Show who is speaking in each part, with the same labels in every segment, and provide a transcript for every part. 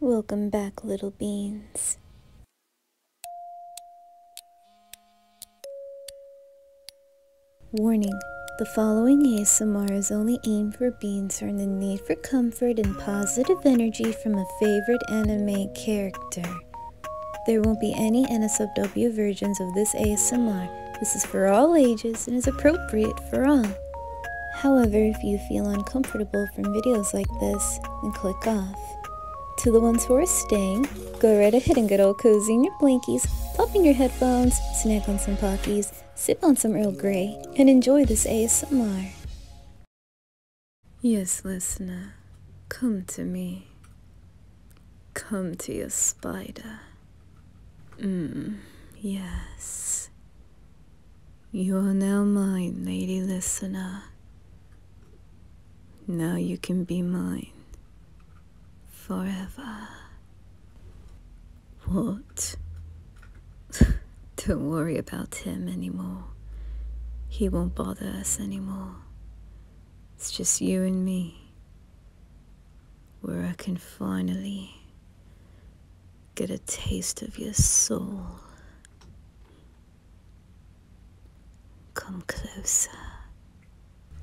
Speaker 1: Welcome back, little beans. Warning The following ASMR is only aimed for beans who are in need for comfort and positive energy from a favorite anime character. There won't be any NSFW versions of this ASMR. This is for all ages and is appropriate for all. However, if you feel uncomfortable from videos like this, then click off. To the ones who are staying, go right ahead and get all cozy in your blankies, pop in your headphones, snack on some Pockies, sip on some Earl Grey, and enjoy this ASMR. Yes, listener, come to me. Come to your spider. Mmm, yes. You are now mine, lady listener. Now you can be mine forever. What? Don't worry about him anymore. He won't bother us anymore. It's just you and me. Where I can finally get a taste of your soul. Come closer.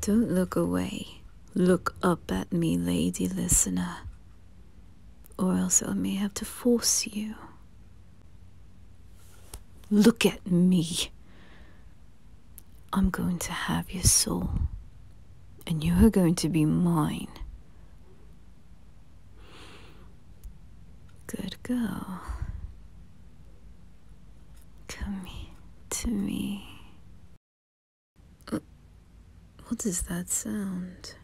Speaker 1: Don't look away. Look up at me, lady listener. Or else I may have to force you. Look at me. I'm going to have your soul. And you are going to be mine. Good girl. Come to me. Uh, what does that sound?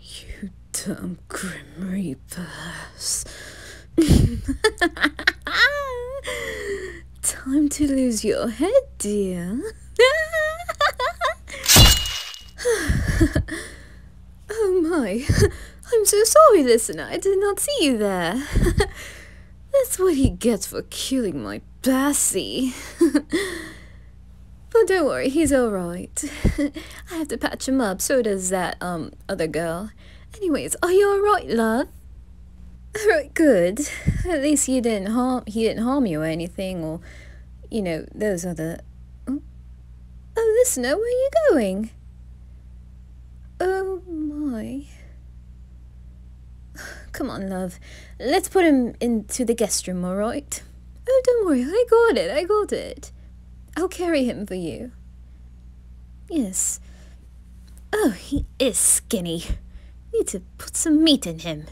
Speaker 1: You dumb grim reapers. Time to lose your head, dear. oh my. I'm so sorry, listener. I did not see you there. That's what he gets for killing my Bessie. but oh, don't worry, he's alright. I have to patch him up, so does that, um, other girl. Anyways, are you alright, love? Alright, good. At least you didn't harm- he didn't harm you or anything, or, you know, those other- Oh, oh listener, where are you going? Oh my... Come on, love. Let's put him into the guest room, alright? Oh, don't worry. I got it. I got it. I'll carry him for you. Yes. Oh, he is skinny. Need to put some meat in him.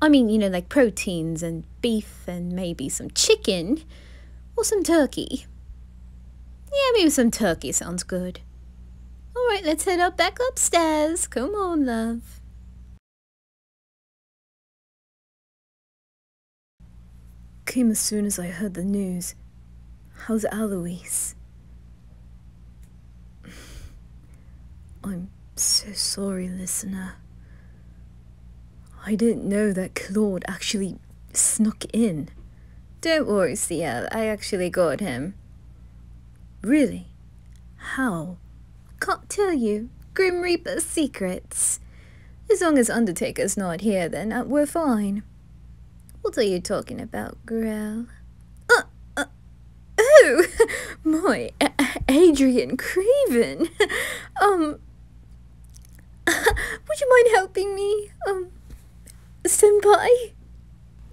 Speaker 1: I mean, you know, like proteins and beef and maybe some chicken or some turkey. Yeah, maybe some turkey sounds good. Alright, let's head up back upstairs. Come on, love. Came as soon as I heard the news. How's Aloise? I'm so sorry, listener. I didn't know that Claude actually snuck in. Don't worry, CL. I actually got him. Really? How? Can't tell you. Grim Reaper's secrets. As long as Undertaker's not here, then uh, we're fine. What are you talking about, Grell? Uh, uh, oh! My Adrian Craven! um, would you mind helping me? Um, Senpai?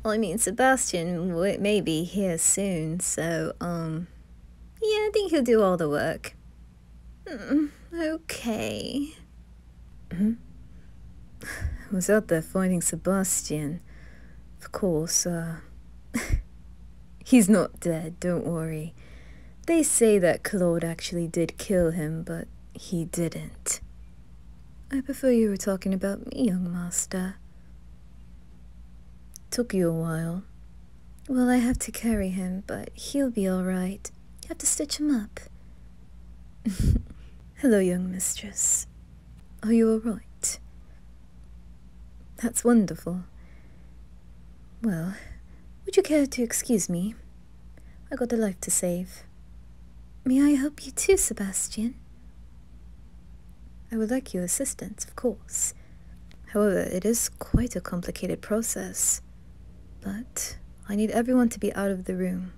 Speaker 1: I mean, Sebastian may be here soon, so, um... Yeah, I think he'll do all the work. Hmm, okay. Hmm? I was out there finding Sebastian. Of course, uh, he's not dead, don't worry. They say that Claude actually did kill him, but he didn't. I prefer you were talking about me, young master. Took you a while. Well, I have to carry him, but he'll be all right. You have to stitch him up. Hello, young mistress. Are you all right? That's wonderful. Well, would you care to excuse me? I have got a life to save. May I help you too, Sebastian? I would like your assistance, of course. However, it is quite a complicated process. But I need everyone to be out of the room.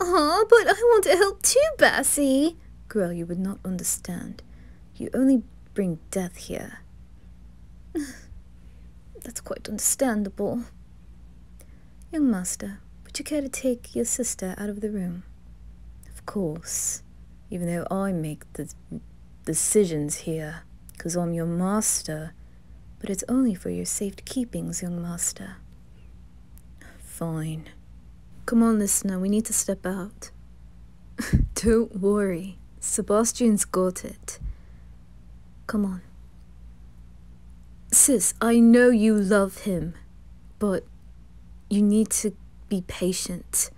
Speaker 1: Ah, but I want to help too, Bessie! Girl, you would not understand. You only bring death here. That's quite understandable. Young master, would you care to take your sister out of the room? Of course, even though I make the decisions here, because I'm your master, but it's only for your safe keepings, young master. Fine. Come on, listener, we need to step out. Don't worry, Sebastian's got it. Come on. Sis, I know you love him, but you need to be patient.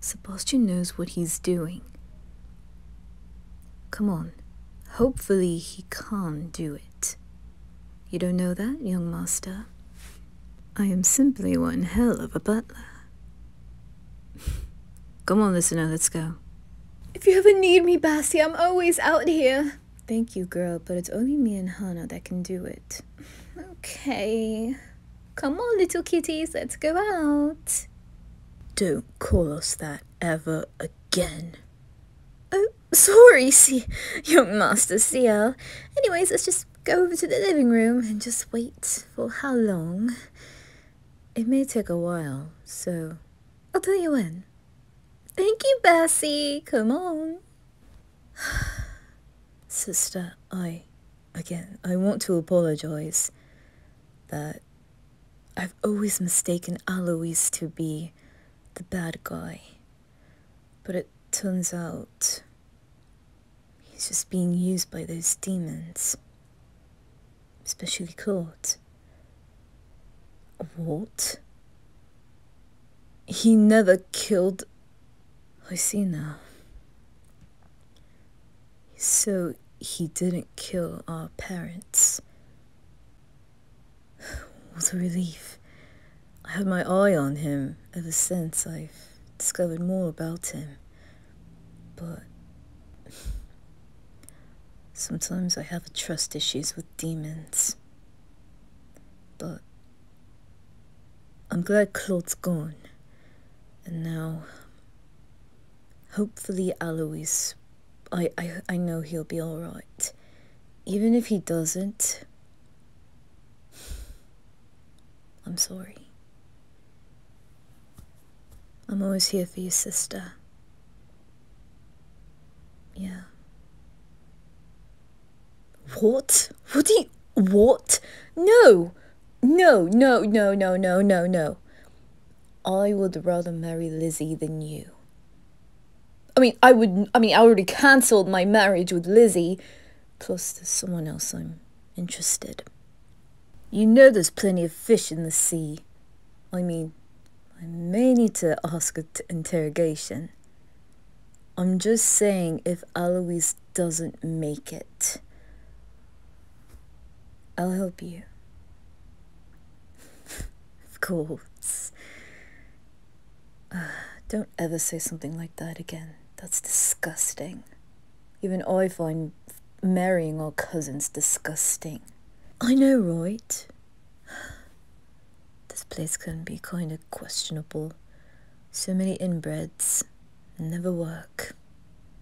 Speaker 1: Sebastian knows what he's doing. Come on. Hopefully he can't do it. You don't know that, young master? I am simply one hell of a butler. Come on, listener, let's go. If you ever need me, Bassy, I'm always out here. Thank you, girl, but it's only me and Hana that can do it. Okay. Come on, little kitties, let's go out. Don't call us that ever again. Oh, sorry, see, young master CL. Anyways, let's just go over to the living room and just wait for how long. It may take a while, so I'll tell you when. Thank you, Bessie. Come on. Sister, I, again, I want to apologize that I've always mistaken Alois to be the bad guy. But it turns out he's just being used by those demons. Especially Claude. What? He never killed Hosina. So he didn't kill our parents. What a relief. I had my eye on him ever since I've discovered more about him. But sometimes I have trust issues with demons. But I'm glad Claude's gone, and now hopefully Alois, I, I, know he'll be alright. Even if he doesn't, I'm sorry. I'm always here for you, sister. Yeah. What? What do you. What? No! No, no, no, no, no, no, no. I would rather marry Lizzie than you. I mean, I would. I mean, I already cancelled my marriage with Lizzie. Plus, there's someone else I'm interested. You know there's plenty of fish in the sea. I mean, I may need to ask an interrogation. I'm just saying if Alois doesn't make it, I'll help you. of course. don't ever say something like that again. That's disgusting. Even I find marrying our cousins disgusting. I know, right? This place can be kind of questionable. So many inbreds never work.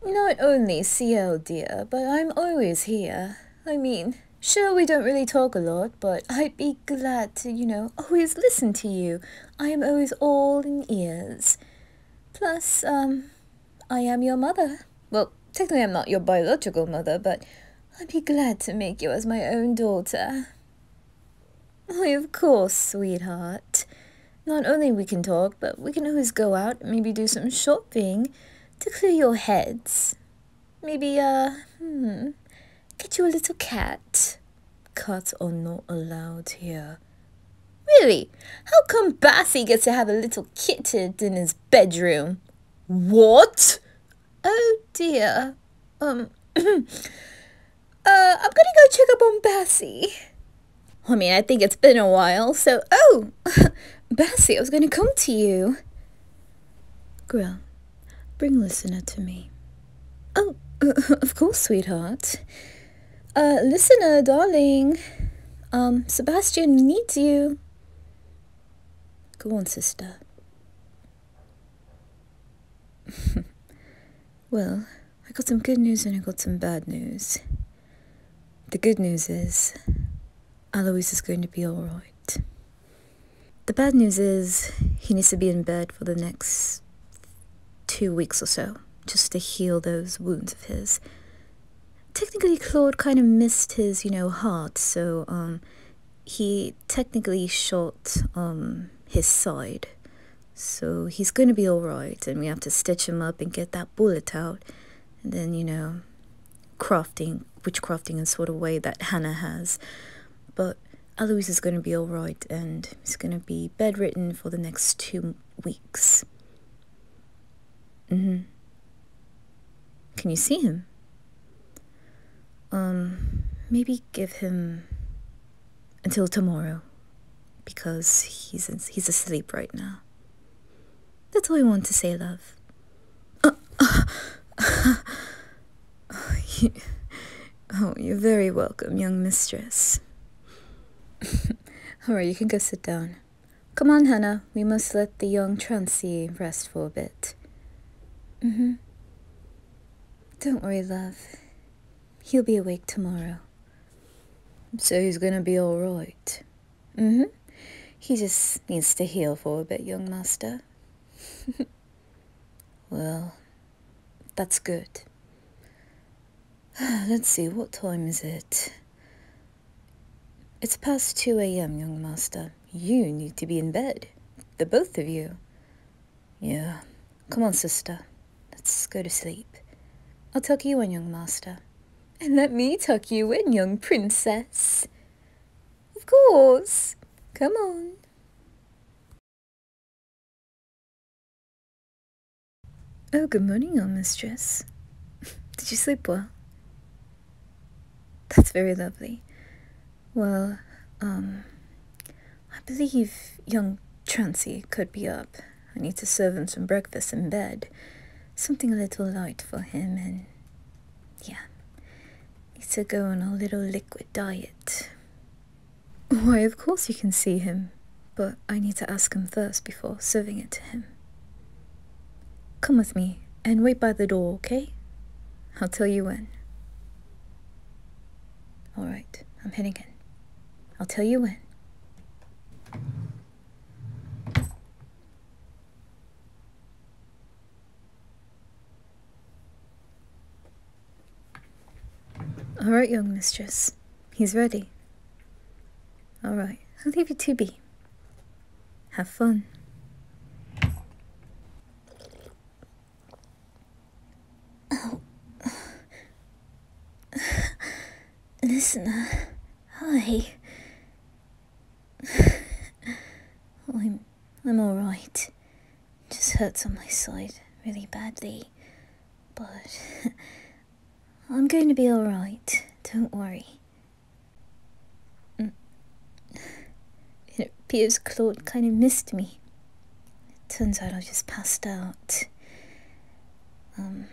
Speaker 1: Not only CL, dear, but I'm always here. I mean, sure, we don't really talk a lot, but I'd be glad to, you know, always listen to you. I am always all in ears. Plus, um, I am your mother. Well, technically, I'm not your biological mother, but I'd be glad to make you as my own daughter. Why, of course, sweetheart. Not only we can talk, but we can always go out and maybe do some shopping to clear your heads. Maybe, uh, hmm, get you a little cat. Cats are not allowed here. Really? How come Bassy gets to have a little kitten in his bedroom? What? Oh dear. Um, Uh, I'm gonna go check up on Bessie. I mean, I think it's been a while, so. Oh! Bessie, I was gonna come to you. Grill, bring Listener to me. Oh, of course, sweetheart. Uh, Listener, darling. Um, Sebastian needs you. Go on, sister. Well, I got some good news and I got some bad news. The good news is Alois is going to be alright. The bad news is he needs to be in bed for the next two weeks or so, just to heal those wounds of his. Technically, Claude kind of missed his, you know, heart, so um, he technically shot um, his side. So he's going to be alright, and we have to stitch him up and get that bullet out. And then, you know, crafting, witchcrafting in sort of way that Hannah has. But Alois is going to be alright, and he's going to be bedridden for the next two weeks. Mm-hmm. Can you see him? Um, maybe give him until tomorrow because he's he's asleep right now. That's all I want to say, love. Uh, uh, uh, you, oh, you're very welcome, young mistress. all right, you can go sit down. Come on, Hannah. We must let the young Trancy rest for a bit. Mm-hmm. Don't worry, love. He'll be awake tomorrow. So he's gonna be all right. Mm-hmm. He just needs to heal for a bit, young master. well, that's good. Let's see, what time is it? It's past 2 a.m., young master. You need to be in bed. The both of you. Yeah. Come on, sister. Let's go to sleep. I'll tuck you in, young master. And let me tuck you in, young princess. Of course. Come on. Oh, good morning, old mistress. Did you sleep well? That's very lovely. Well, um, I believe young Trancy could be up. I need to serve him some breakfast in bed. Something a little light for him, and yeah, needs to go on a little liquid diet. Why, of course you can see him, but I need to ask him first before serving it to him. Come with me and wait by the door, okay? I'll tell you when. Alright, I'm heading in. I'll tell you when. All right, young mistress. He's ready. All right, I'll leave you to be. Have fun. Listen, uh, Listener, I'm I'm all right. Just hurts on my side really badly, but I'm going to be all right. Don't worry. Mm. It appears Claude kind of missed me it turns out I just passed out. Um.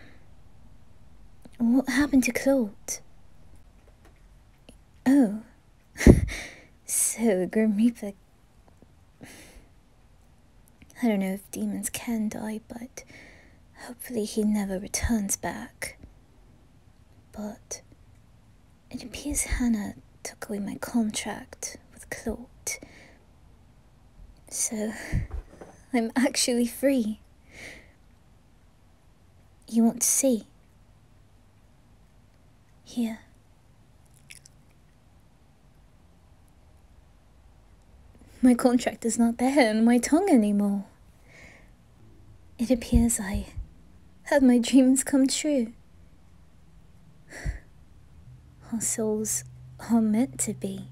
Speaker 1: What happened to Claude? Oh. so, Grim Reaper. I don't know if demons can die, but hopefully he never returns back. But it appears Hannah took away my contract with Claude. So, I'm actually free. You want to see? Here. My contract is not there in my tongue anymore. It appears I had my dreams come true. Our souls are meant to be.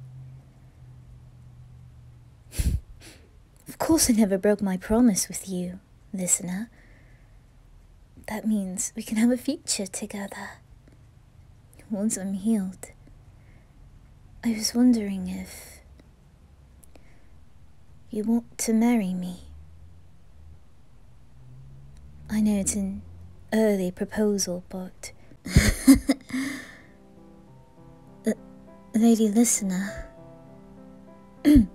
Speaker 1: of course, I never broke my promise with you, listener. That means we can have a future together. Once I'm healed. I was wondering if you want to marry me. I know it's an early proposal, but Lady Listener,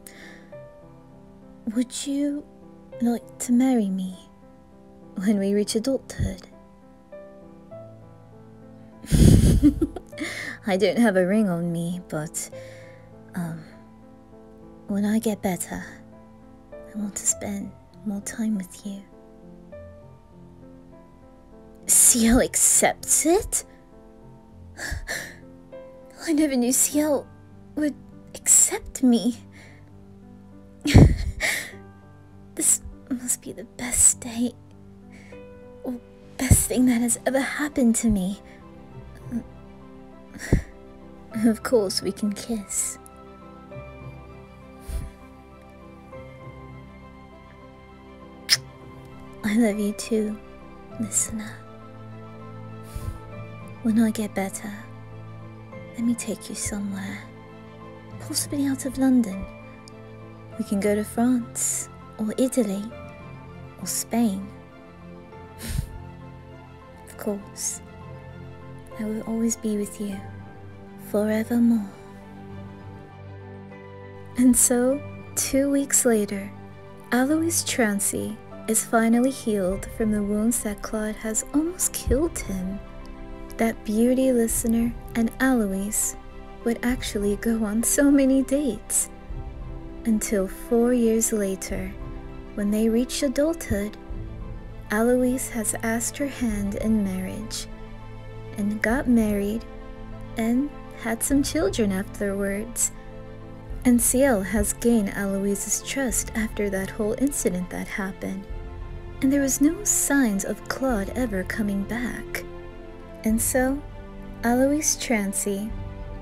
Speaker 1: would you like to marry me when we reach adulthood? I don't have a ring on me, but um, when I get better, I want to spend more time with you. Ciel accepts it? I never knew Ciel would accept me. this must be the best day or best thing that has ever happened to me. Of course, we can kiss. I love you too, listener. When I get better, let me take you somewhere. Possibly out of London. We can go to France, or Italy, or Spain. of course. I will always be with you, forevermore. And so, two weeks later, Alois Trancy is finally healed from the wounds that Claude has almost killed him. That beauty listener and Alois would actually go on so many dates. Until four years later, when they reached adulthood Aloise has asked her hand in marriage and got married and had some children afterwards. And Ciel has gained Aloise's trust after that whole incident that happened. And there was no signs of Claude ever coming back. And so, Aloise Trancy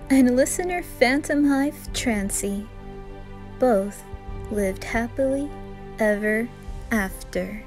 Speaker 1: and listener Phantom Hive Trancy both lived happily ever after.